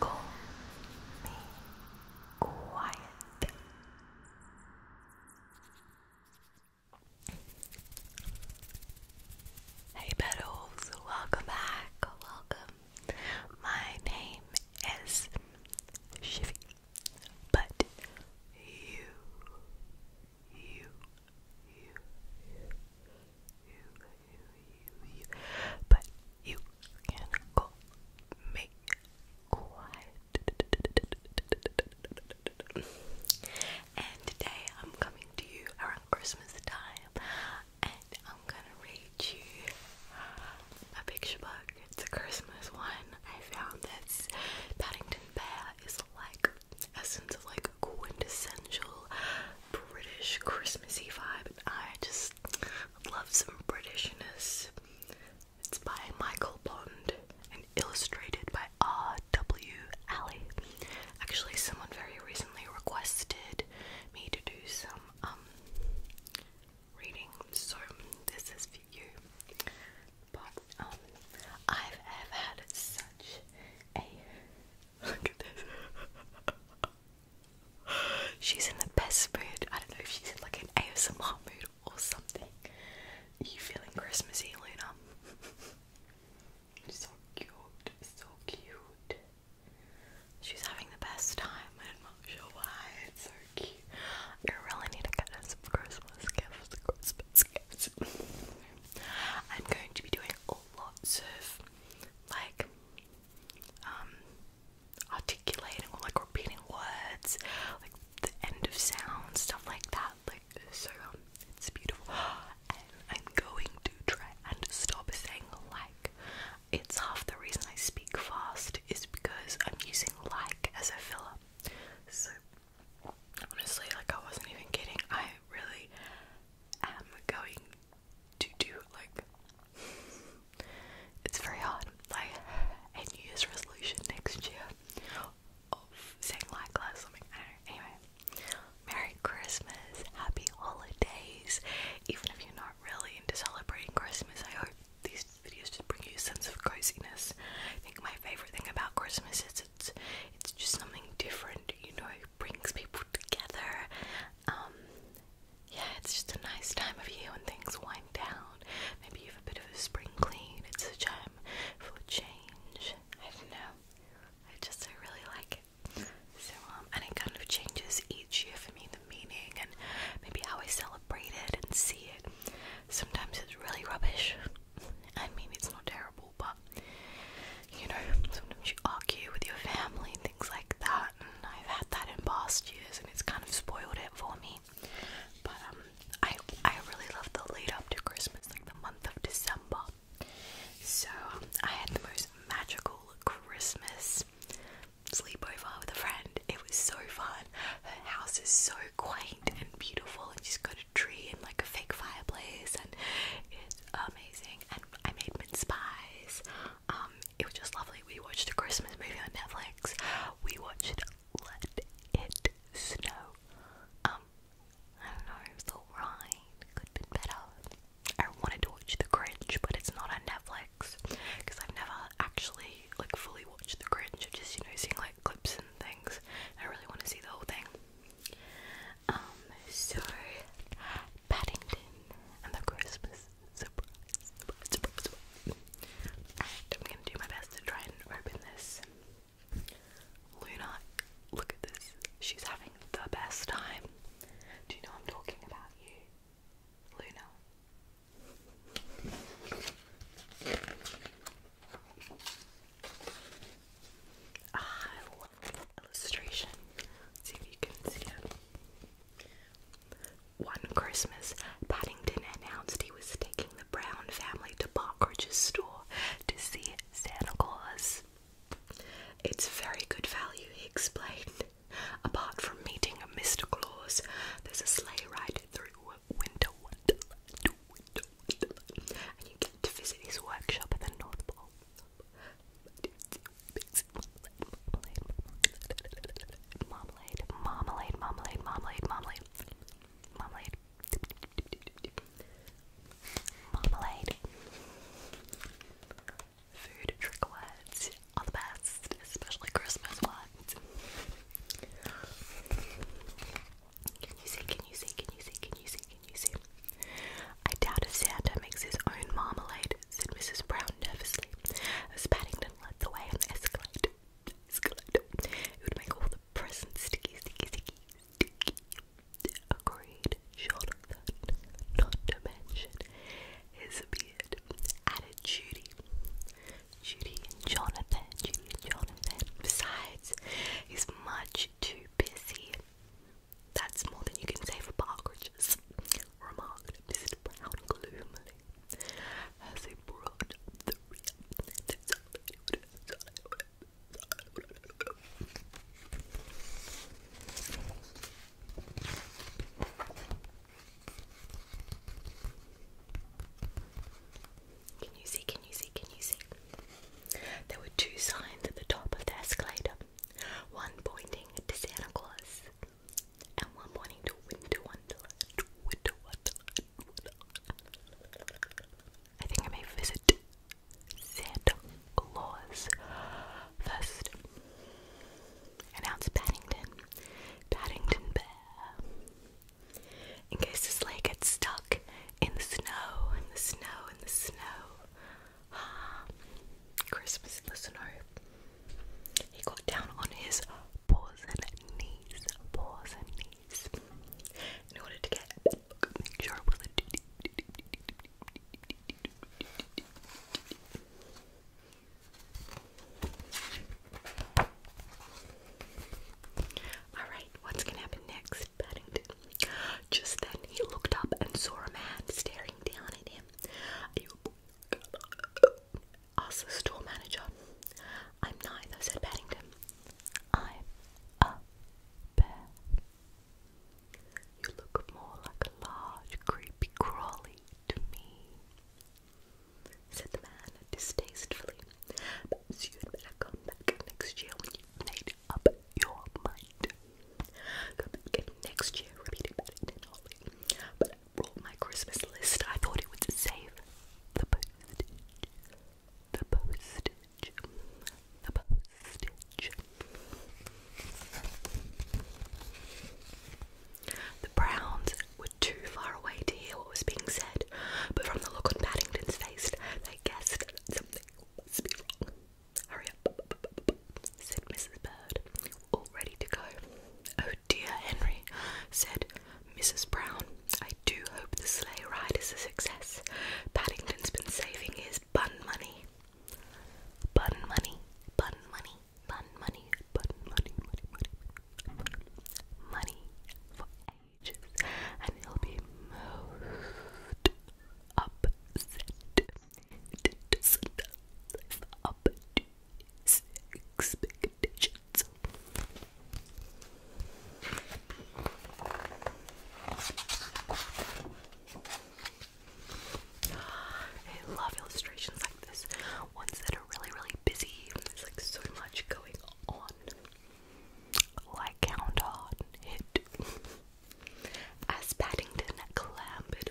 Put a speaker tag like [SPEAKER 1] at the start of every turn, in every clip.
[SPEAKER 1] Call me quiet. Hey Bettles, welcome back, welcome. My name is Shivy, but you, you, you, but you can go make quiet. And today I'm coming to you around Christmas time, and I'm gonna read you a picture book. It's a Christmas one. I found this Paddington Bear is like essence of like quintessential British Christmassy vibe, I just love some Britishness. It's by Michael Bond and illustrated by R.W. Alley. Actually, someone very recently requested me to do some um reading, so this is for you. But um, I've ever had such a Look at this. she's in the best mood. I don't know if she's in like an ASMR mood or something. you feeling Christmassy, Luna? so cute, so cute. She's having the best time. i do not know why. It's so cute. I really need to get her some Christmas gifts. Christmas gifts. I'm going to be doing lots of like um articulating or like repeating words, like the end of sound, stuff like that. Like so um it's beautiful. And I'm going to try and stop saying like it's half the reason I speak fast is because I'm using like as a filler. So honestly like I wasn't even kidding. I really am going to do like it's very hard. Like a New Year's resolution next year of saying like something. Anyway. Merry Christmas, happy holidays. Even if you're not really into celebrating Christmas, I hope these videos just bring you a sense of coziness. I think my favourite thing about Christmas is it's it's just something different, you know, brings people together. Um, yeah, it's just a nice time of year when things wind down. Maybe you have a bit of a spring clean. It's a time for change. I don't know. I just I really like it. So um, and it kind of changes each year for me the meaning and maybe how I celebrate it and see it. Sometimes it's really rubbish. I mean, it's not terrible, but you know, sometimes you argue with your family and things like that, and I've had that in past years, and it's kind of spoiled it for me. But um, I I really love the lead up to Christmas, like the month of December. So um, I had the most magical Christmas sleepover with a friend. It was so fun. Her house is so quaint and beautiful, and she's got a tree and like a fake fireplace, and it's amazing. I made mince pies. Um, it was just lovely. We watched a Christmas movie on Netflix. We watched Let It Snow. Um, I don't know, it was alright. Could have been better. I wanted to watch The Grinch, but it's not on Netflix because I've never actually like fully watched The Grinch. I've just you know seen like clips and things. I really want to see the whole thing. Um, so Paddington and the Christmas surprise. I'm gonna do my best to try and open this. Luna, look at this. She's having the best time. Do you know I'm talking about you? Luna. Ah, illustration. One Christmas, Paddington announced he was taking the Brown family to Parkridge's store to see Santa Claus. It's very good value, he explained. Apart from meeting a Mr. Claus, there's a sleigh ride through Winter Wonderland, winter, and you get to visit his workshop at the North Pole. Marmalade, marmalade, marmalade, marmalade, marmalade, marmalade, marmalade. Food trick words are the best, especially Christmas ones. Can you see? Can you see? Can you see? Can you see? Can you see? I doubt if Santa makes his own marmalade, said Mrs. Brown nervously, as Paddington led the way on the escalator. escalator. It would make all the presents sticky, sticky, sticky, sticky. Agreed, Jonathan, not to mention his beard. Added Judy. Judy and Jonathan, Judy and Jonathan. Besides, he's much too busy. That's more than you can say for partridges, remarked Mr. Brown gloomily as he brought Can you see? Can you see? Can you see? There were two signs at the top of the escalator one pointing to Santa Claus and one pointing to Winter Wonderland. To Winter Wonderland. I think I may visit Santa Claus first. Announce Paddington. Paddington Bear. In case this leg gets stuck in the snow, in the snow, in the snow. Christmas listener. He got down on his paws and knees, paws and knees, in order to get all right, what's gonna happen next, Paddington? Just then he looked up and saw a man staring down at him. Asked the store manager. I'm neither, said Paddington. I'm a bear. You look more like a large, creepy crawly to me, said the man distastefully. Perhaps you'd better come back next year when you've made up your mind. Go I my Christmas list. I thought it would save the postage. The postage. The postage. The Browns were too far away to hear what was being said, but from the look on Paddington's face, they guessed that something must be wrong. Hurry up, said Mrs. Bird, all ready to go. Oh dear, Henry, said Mrs. Brown. I do hope the sleigh ride is a success. Paddington's been saving his bun money. Bun money, bun money, bun money, bun money, money, money, money, money for ages, and he'll be most upset does live up to expectations. I love illustrations like this, ones that are really, really busy. There's like so much going on. Like Count on it. As Paddington clambered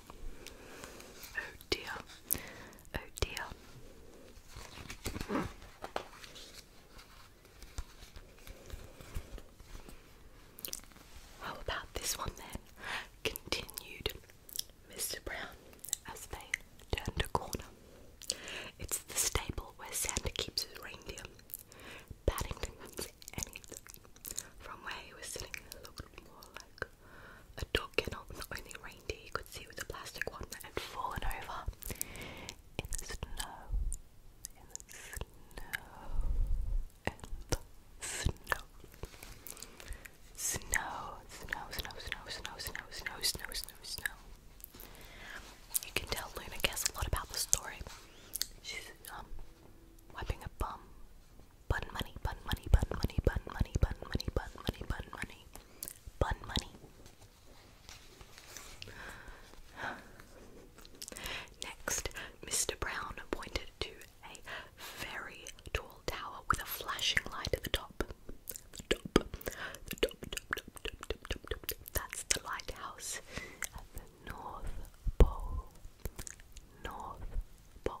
[SPEAKER 1] Oh dear. Oh dear. How about this one then? Continued Mr. Brown as they turned a corner. It's the stable where Santa keeps his reindeer. Paddington From where he was sitting, looked more like a dog kennel, the only reindeer you could see with a plastic one that had fallen over in the snow, in the snow, in the snow. Snow, snow, snow, snow, snow, snow, snow, snow, You can tell Luna cares a lot about the story. She's um wiping a bum. Bun money, bun money, bun money, bun money, bun money, bun money, bun money. Bun money. Next, Mr. Brown pointed to a very tall tower with a flashing light at the top. The top, the top, That's the lighthouse at the North Pole. North Pole.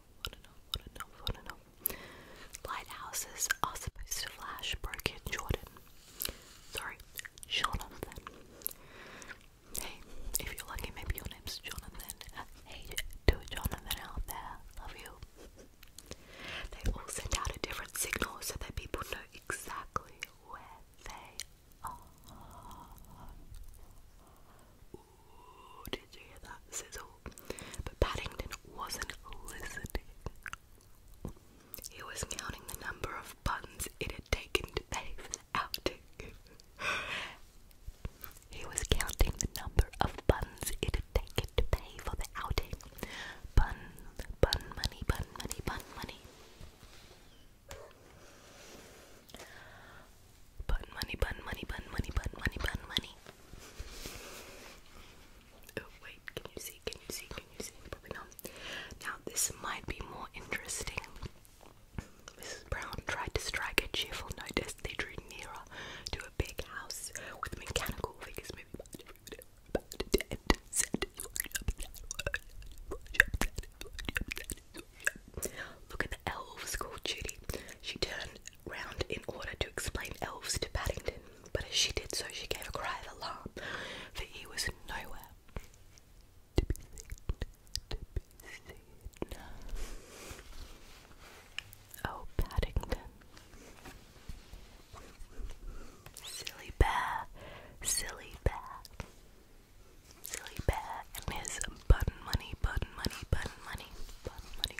[SPEAKER 1] know, wanna know, wanna know, wanna know. Lighthouses are supposed to flash, broke in Jordan. Sorry, Jonathan. Hey, if you're lucky, maybe your name's Jonathan. Hey, to Jonathan out there, love you. They all send out a different signal so that people know exactly where they are. Did you hear that sizzle? But Paddington wasn't listening. He was counting the number of buns it had taken to pay for the outing. he was counting the number of buns it had taken to pay for the outing. Bun, bun money, bun money, bun money. Bun money, bun money, bun money, bun money, Oh wait, can you see? Can you see? Can you see? Probably not. Now this might be more interesting. Mrs. Brown tried to strike a cheerful notice. They drew nearer to a big house with mechanical figures moving Look at the elves called Judy. She turned round in order to explain elves to Paddington, but as she did so, she gave a cry of alarm, for he was nowhere Oh, Paddington. Silly bear, silly bear. Silly bear and his button money, button money, button money, button money.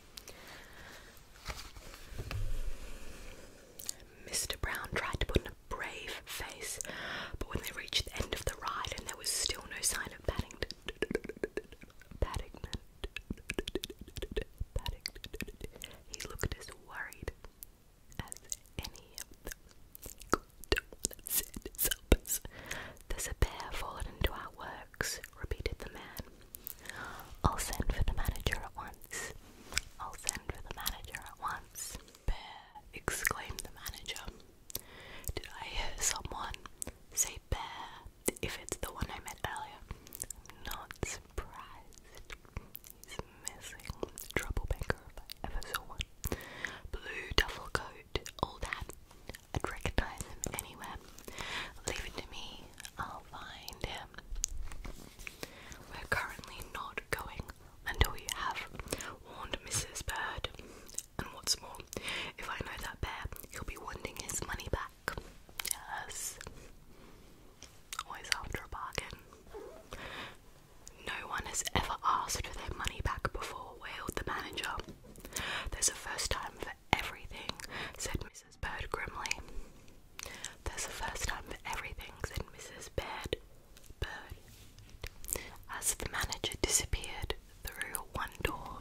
[SPEAKER 1] Mr. Brown tried to put on a brave face, but when they reached the end of the ride and there was still no sign of Paddington, Paddington, Paddington, he looked as worried as any of them. God, don't There's a bear fallen into our works, repeated the man. I'll send for the manager at once. I'll send for the manager at once. Bear, exclaimed the manager. Did I hear someone say bear if it's the one I met earlier? not surprised. He's missing. Trouble banker I ever saw Blue duffel coat, old hat, I'd recognize him anywhere. Leave it to me, I'll find him. We're currently not going until you have warned Mrs. Bird. And what's more, if I know that bear, he'll be wanting his money back. Yes. Always after a bargain. No one has ever asked for their money back before, wailed the manager. There's a first time for everything, said Mrs. Bird grimly. "That's the first time for everything, said Mrs. Baird. Bird. As the manager disappeared through one door,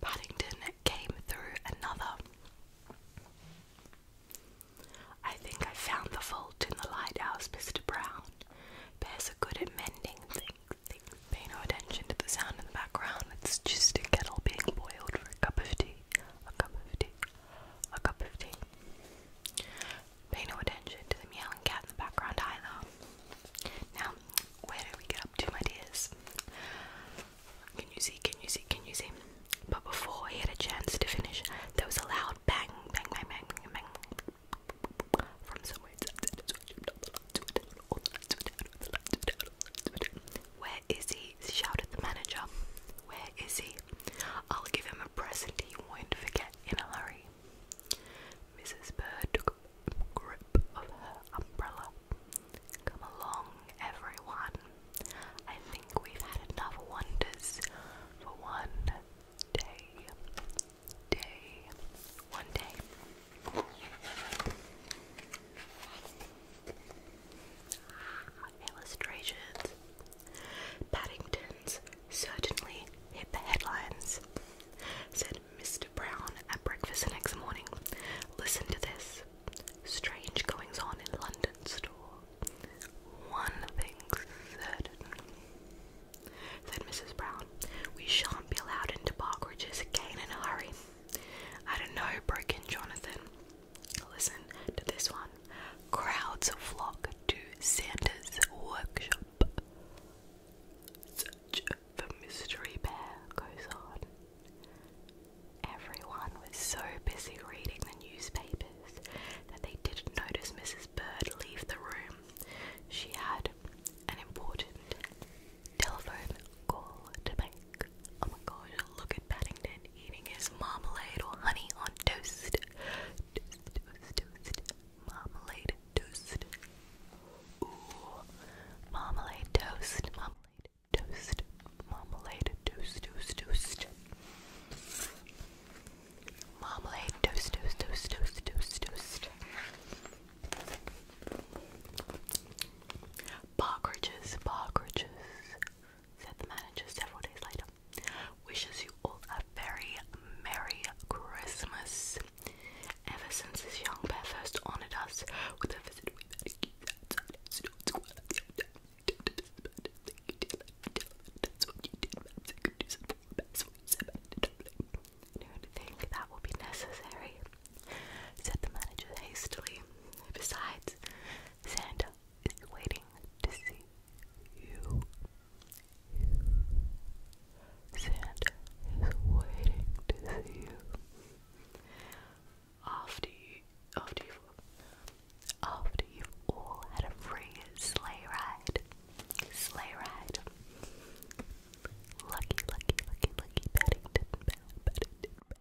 [SPEAKER 1] Paddington came through another. I think I found the fault in the lighthouse, Mr. Brown. Bears are good at mending things, Pay no attention to the sound in the background, it's just a kettle being boiled for a cup of tea. A cup of tea. A cup of tea. Pay no attention to the meowing cat in the background either. Now, where do we get up to, my dears? Can you see? Can you see? Can you see? But before he had a chance to finish, there was a loud bang, bang, bang, bang, bang, From somewhere inside. Where is he? shouted the manager. Where is he? I'll give him a present he won't forget in a hurry. Mrs. Bird took grip of her umbrella. Come along, everyone. I think we've had enough wonders for one day. Day. One day. Illustrations. Paddington's certainly hit the headlines, said Mr. Brown at breakfast the next morning. Listen to this. Strange goings on in London store. One thing's certain, said Mrs. Brown. We shan't be allowed into Parkridge's again in a hurry. I don't know, broke in Jonathan. Listen to this one. Crowds flock to Santa's workshop. Search Mystery Bear goes on. Everyone was so busy reading the newspapers that they didn't notice Mrs. Bird leave the room. She had an important telephone call to make. Oh my gosh, look at Paddington eating his marmalade or honey on toast. Toast, toast, toast. Marmalade toast. Ooh. Marmalade toast. Marmalade toast. Marmalade toast, toast, toast. Marmalade toast, toast, toast, toast, toast, toast. Partridges, partridges, said the manager several days later. Wishes you all a very Merry Christmas. Ever since this young bear first honoured us with a visit, we don't that will be necessary said the manager hastily. Besides, Santa is waiting to see you. Santa is waiting to see you. After you, after you've, after you've all had a free sleigh ride, sleigh ride. Lucky, lucky, lucky, lucky, Paddington, Paddington,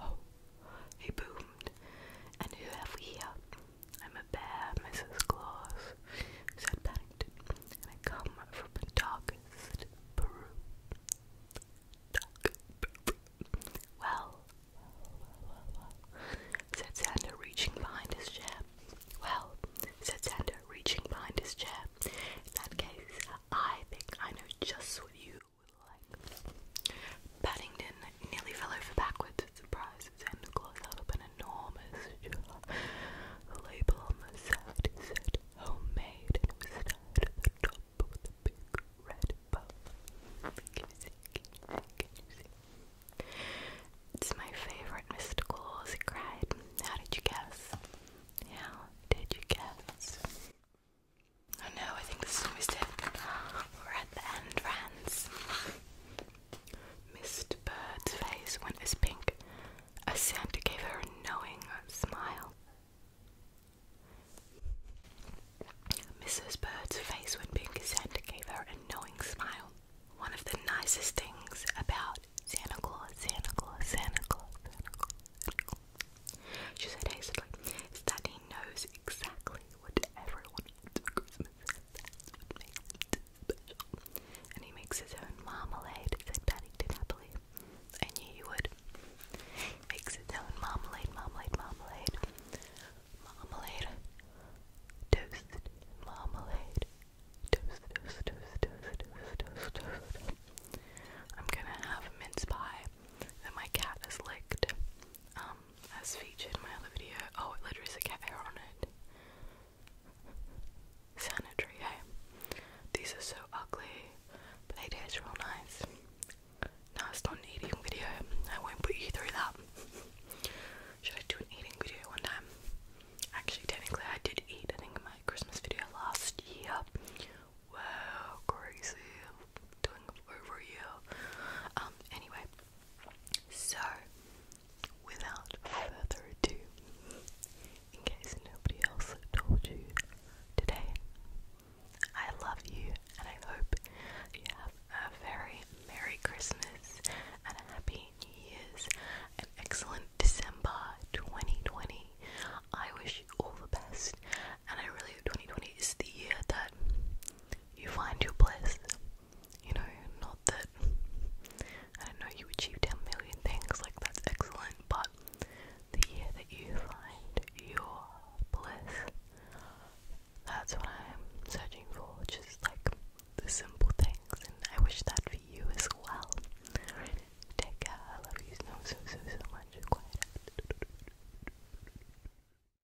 [SPEAKER 1] Oh, he boomed. And who have we here? I'm a bear, Mrs. Claus, said Paddington, and I come from the darkest Peru. Dark Peru. Well, said Sander, reaching behind his chair. Well, said Sander, reaching behind his chair. In that case, I think I know just what you like. Paddington nearly fell over backwards at surprise as Santa Claus held up an enormous jar. The label on the side said homemade and it was tied at the top with a big red bow. Can you see? Can you see? Can you see? It's my favorite, Mr. Claus, he cried. How did you guess? How did you guess? Oh no, I think this is a mistake. We're at the end, friends. Mr. Bird's face went as pink as Santa gave her a knowing smile. Mrs. Bird's face went pink as Santa gave her a knowing smile. One of the nicest things about Santa Claus, Santa Claus, Santa Claus, Santa Claus, Santa Claus she said hastily, is that he knows exactly whatever I And he makes his own marmalade, said Paddington happily. I knew you would. Makes his own marmalade, marmalade, marmalade. Marmalade. Toast. Marmalade. Toast, toast, toast, toast, toast, toast, I'm gonna have mince pie and my cat has licked. That's um, featured in my other video. Oh, it literally said cat hair on it. Sanitary, hey? These are so ugly, but they taste real nice. No, it's not eating video. I won't put you through that. Should I do an eating video one time? Actually, technically, I did eat, I think, in my Christmas video last year. Wow, crazy. Doing over a year. Um, anyway, so, without further ado, in case nobody else told you today, I love you and I hope you have a very Merry Christmas and a Happy New Year's, and excellent December 2020. I wish you all the best, and I really hope 2020 is the year that you find your bliss. You know, not that I don't know you achieve 10 million things, like that's excellent, but the year that you find your bliss, that's what I'm searching for, just like the simple things, and I wish that for you as well. Take I love you so, so, so, so much.